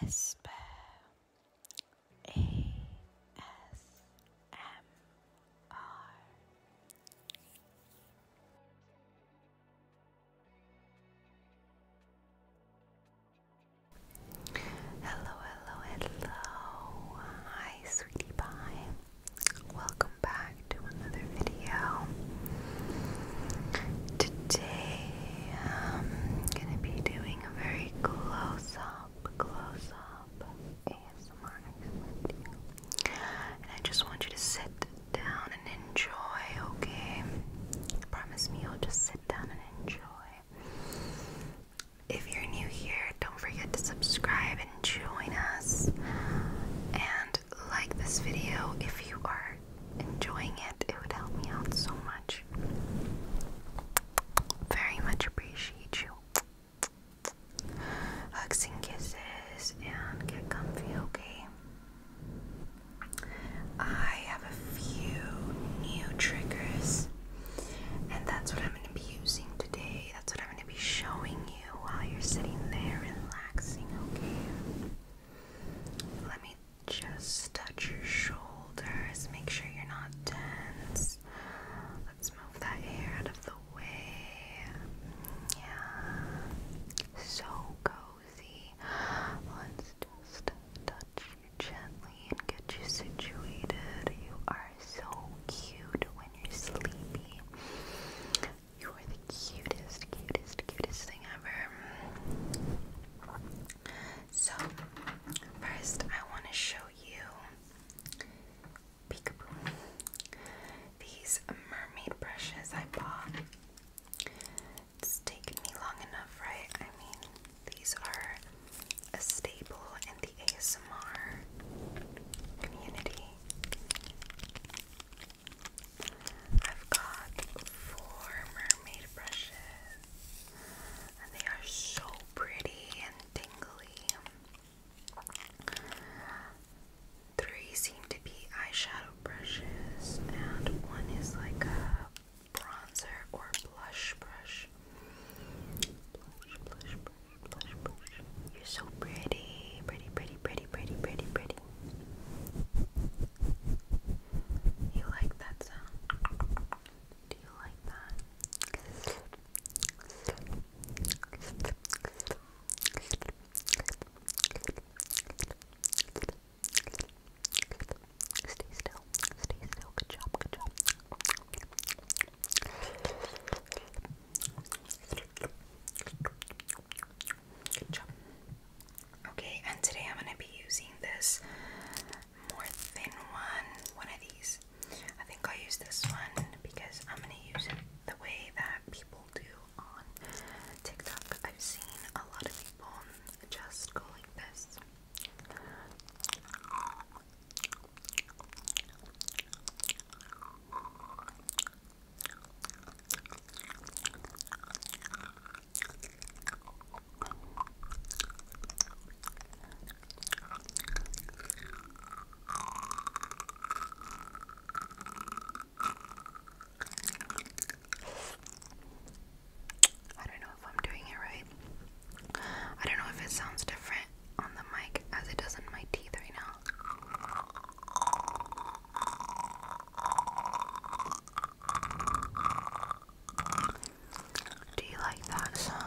Esper Hello, hello, hello. Hi, sweetie pie. Welcome back to another video video. Today I'm gonna be doing a very close up, close up ASMR with And I just want you to sit down and enjoy, okay? Promise me you'll just sit down and enjoy. If you're new here, don't forget to subscribe and join us. And like this video if you are enjoying it. It would help me out so much. Very much appreciate you. Hugs and kisses and get comfy, okay? I have a few new triggers, and that's what I'm going to be using today. That's what I'm going to be showing you while you're sitting there relaxing, okay? Let me just touch your shoulders. Make sure you're not tense. Let's move that hair out of the way. Yeah. So cozy. Let's just touch you gently and get you situated. You are so cute when you're sleepy. You are the cutest, cutest, cutest thing ever. So, first, I want to show you peekaboo. These mermaid brushes I bought. It's taken me long enough, right? I mean, these are a staple in the ASMR community. I've got four mermaid brushes, and they are so pretty and tingly. Three seem to be eyeshadow brushes, and one is like a bronzer or blush brush. Blush, blush, blush, blush, blush. You're so pretty, pretty, pretty, pretty, pretty, pretty, pretty. You like that sound? Do you like that? Stay still. Stay still. Good job. Good job. Good job. Okay, and today I'm going to be using this more thin one, one of these. I think I'll use this one because I'm going to use it the way that people do on TikTok. I've seen a lot of people just going like this. I don't know if I'm doing it right. I don't know if it sounds different on the mic as it does in my teeth right now. Do you like that sound?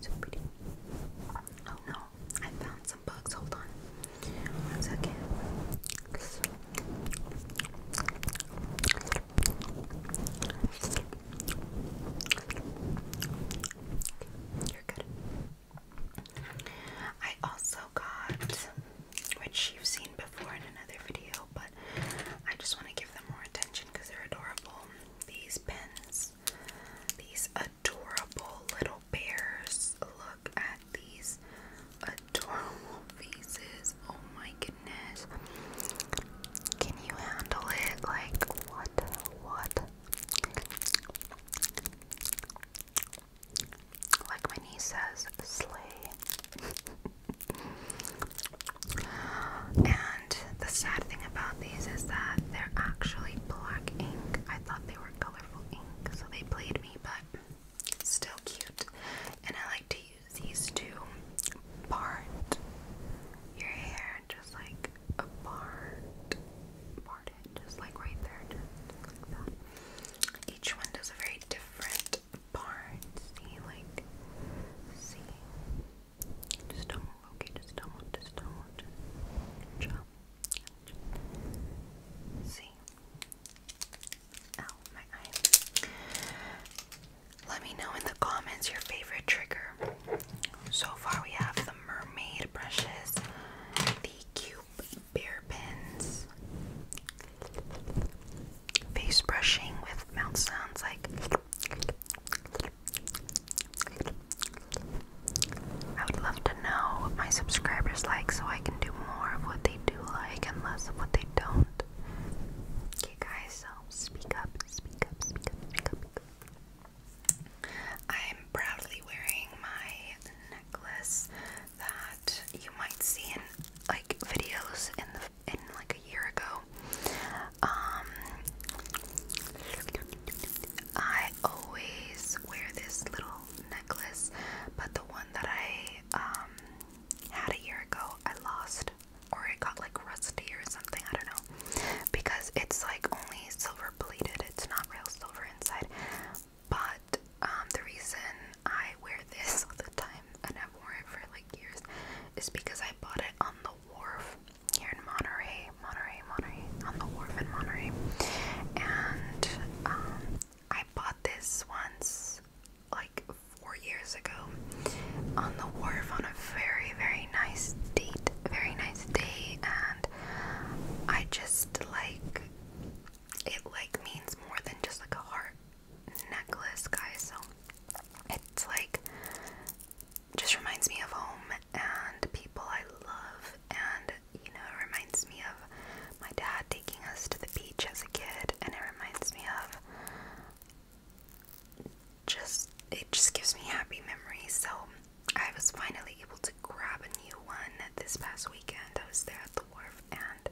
So pretty. I found some bugs. Hold on. One second. Okay, you're good. I also got, which you've seen before in another video, but I just want to give them more attention because they're adorable. These pens, these adorable little bears. Look at these adorable faces. Oh my goodness. Can you handle it? Like, what? What? Like my niece says, slay. And the sad thing about these is that they're actually black ink. I thought they were colorful ink, so they played me, but still cute. And I like to use these to part your hair, just like a part, part it, just like right there, just Each one does a very different best part. like, see. Just don't okay? Just don't just don't move. Just chop. See. Ow, my eye. Let me know in the comments your favorite trigger. So far, we have the mermaid brushes, the cute bear pins, face brushing with mouth sounds like I would love to know what my subscribers like so I can do more of what they do like and less of what they don't. Okay guys, so speak up, speak up, speak up, speak up. I'm proudly wearing my necklace that you might see in like videos in the of like a year ago. Um, I always wear this little necklace, but the one that I um, had a year ago, I lost, or it got like rusty or something. I don't know, because it's like only silver plated. It's not real silver inside, but um, the reason I wear this all the time and I've worn it for like years is because I bought it on the wharf here in Monterey, Monterey, Monterey, on the wharf in Monterey. And um, I bought this once like four years ago on the wharf on a very, very nice date, very nice day, and I just like it, like means more than just like a heart necklace, guys. So it's like just reminds me of home and people I love, and you know, it reminds me of my dad taking us to the beach as a kid, and it reminds me of just it just gives me happy memories. So I was finally able to grab a new one this past weekend. I was there at the wharf and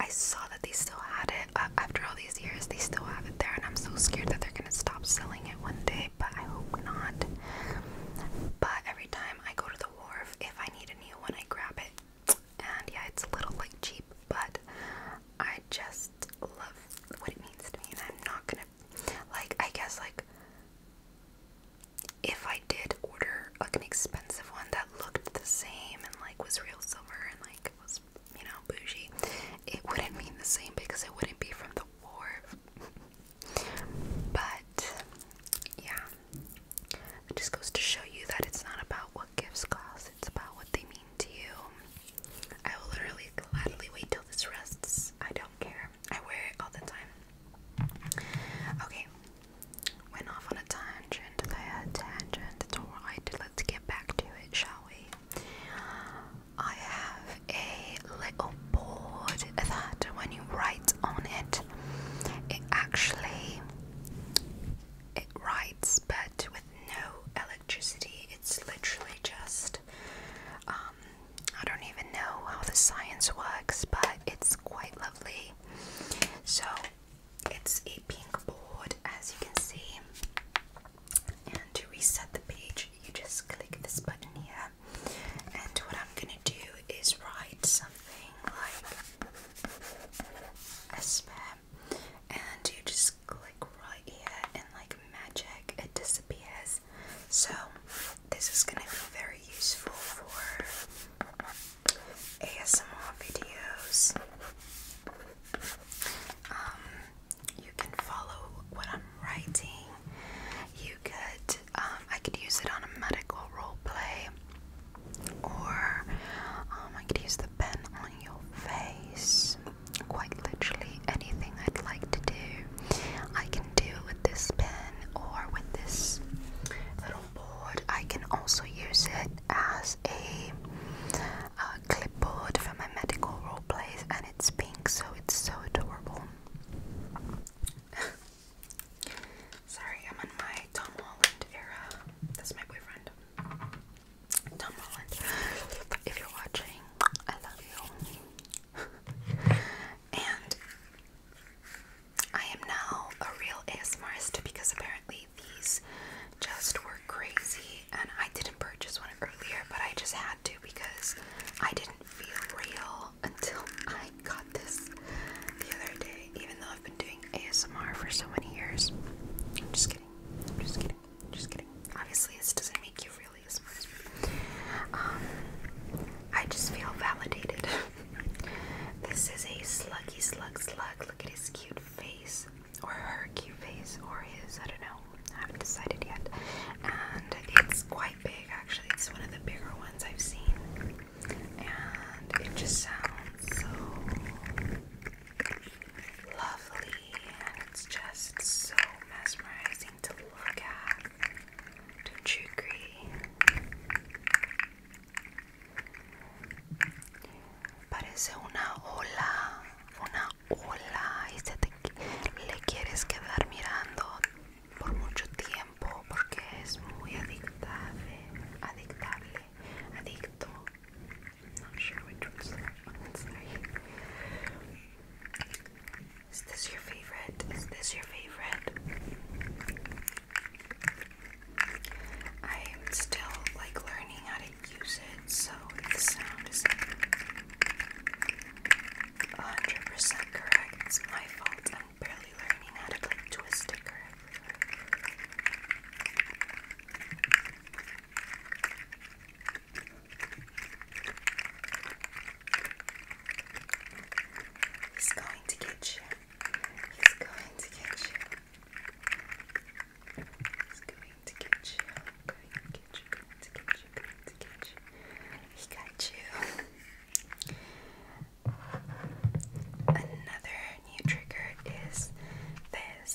I saw that they still had it. Uh, after all these years, they still have it there, and I'm so scared that they're gonna stop selling it one day, but I hope not. But every time I go to the wharf, if I need a new one, I grab it. And yeah, it's a little like cheap, but I just love what it means to me, and I'm not gonna like. I guess like if I did did order like an expensive one that looked the same and like was real silver and like was you know bougie, it wouldn't mean the same because it wouldn't be from the wharf. but yeah, it just goes to show you that it's not about what gifts cost; it's about what they mean to you. I will literally gladly wait till this rests. I don't care. I wear it all the time. Okay, went off on a tangent, a tangent, it's alright, let's get back to it, shall we? I have a little board that when you write on it, it actually, it writes but with no electricity, it's literally just, um, I don't even know how the science works, but it's quite lovely. So it's a pink board, as you can see. And to reset the page, you just click this button here. And what I'm gonna do is write something like a Esper. And you just click right here, and like magic, it disappears. So, this is gonna be very useful for ASMR videos. Um, you can follow what I'm writing. You could, um, I could use it on a medical role play, or um, I could use the pen on your face. Quite literally, anything I'd like to do, I can do with this pen or with this little board. I can also use it as a, a clipboard for my medical role plays, and it's pink, so it's so adorable. Sorry, I'm on my Tom Holland era. That's my boyfriend. Tom Holland. If you're watching, I love you. and I am now a real ASMRist because apparently these just were crazy and I didn't purchase one earlier, but I just had to because I didn't feel real until I got this the other day, even though I've been doing ASMR for so many years. I'm just kidding. I'm just kidding. I'm just kidding. Obviously, this doesn't make you really ASMR. Um, I just feel validated This is a sluggy slug slug. Look at his cute face. Or her cute face. Or his, I don't know. I haven't decided yet. And it's quite big actually. It's one of the bigger ones I've seen. And it just sounds so lovely. And it's just so mesmerizing to look at. Don't you agree? Parece una ola, una ola y se te, le quieres quedar mirando por mucho tiempo porque es muy adictable, adictable, adicto. Not sure which one's that Is this your favorite? Is this your favorite? I am still like learning how to use it, so the sound is 100% correct. It's my fault. I'm barely learning how to like twist it correctly. He's going to get you. He's going to get you. He's going to get you. Going to get you. Going to get you. Going to get you. He got you. Another new trigger is this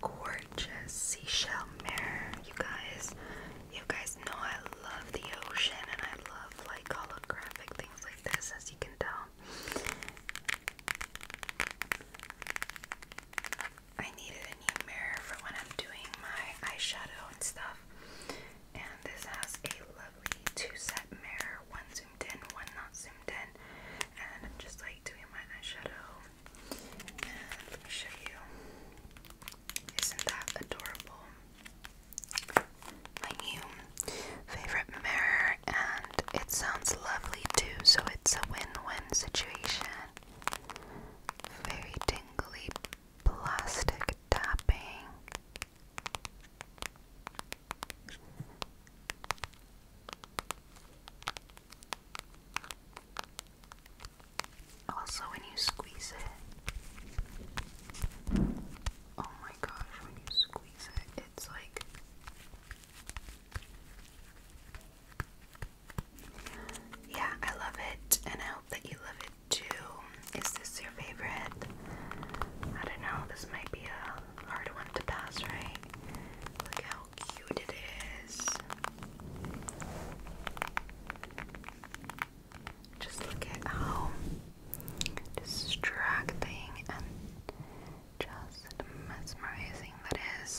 gorgeous seashell mirror. You guys, you guys know I love the ocean and I love like holographic things like this, as you can tell. I needed a new mirror for when I'm doing my eyeshadow and stuff. And this has a lovely two-set mirror, one zoomed in, one not zoomed in. And I'm just like doing my eyeshadow and let me show you. Isn't that adorable? My new favorite mirror, and it sounds lovely too, so it's a win win situation. Very tingly plastic tapping. Also, when you squeeze it, oh my gosh, when you squeeze it, it's like yeah, I love it, and I hope that you love it too. Is this your favorite? I don't know, this might be a hard one to pass, right? Look how cute it is. Just look at how distracting and just mesmerizing that is.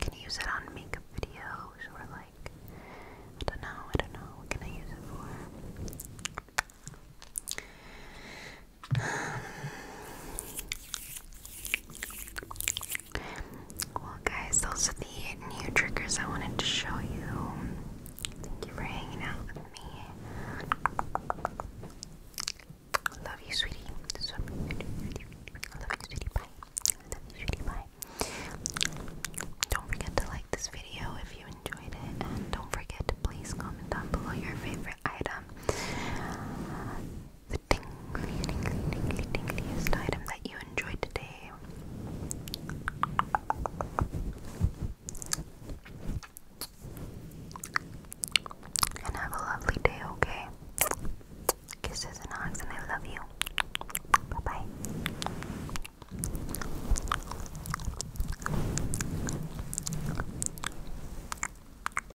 Can I use it on makeup videos or like I don't know, I don't know, what can I use it for? Um, well, guys, those are the new triggers I wanted to show you. Thank you for hanging out with me. Love you, sweetie. love you, sweetie. Bye. Don't forget to like this video if you enjoyed it, and don't forget to please comment down below your favorite item tingly, tingly, tingly, tingliest item that you enjoyed today? And have a lovely day, okay? Kisses and hugs, and I love you. Bye bye.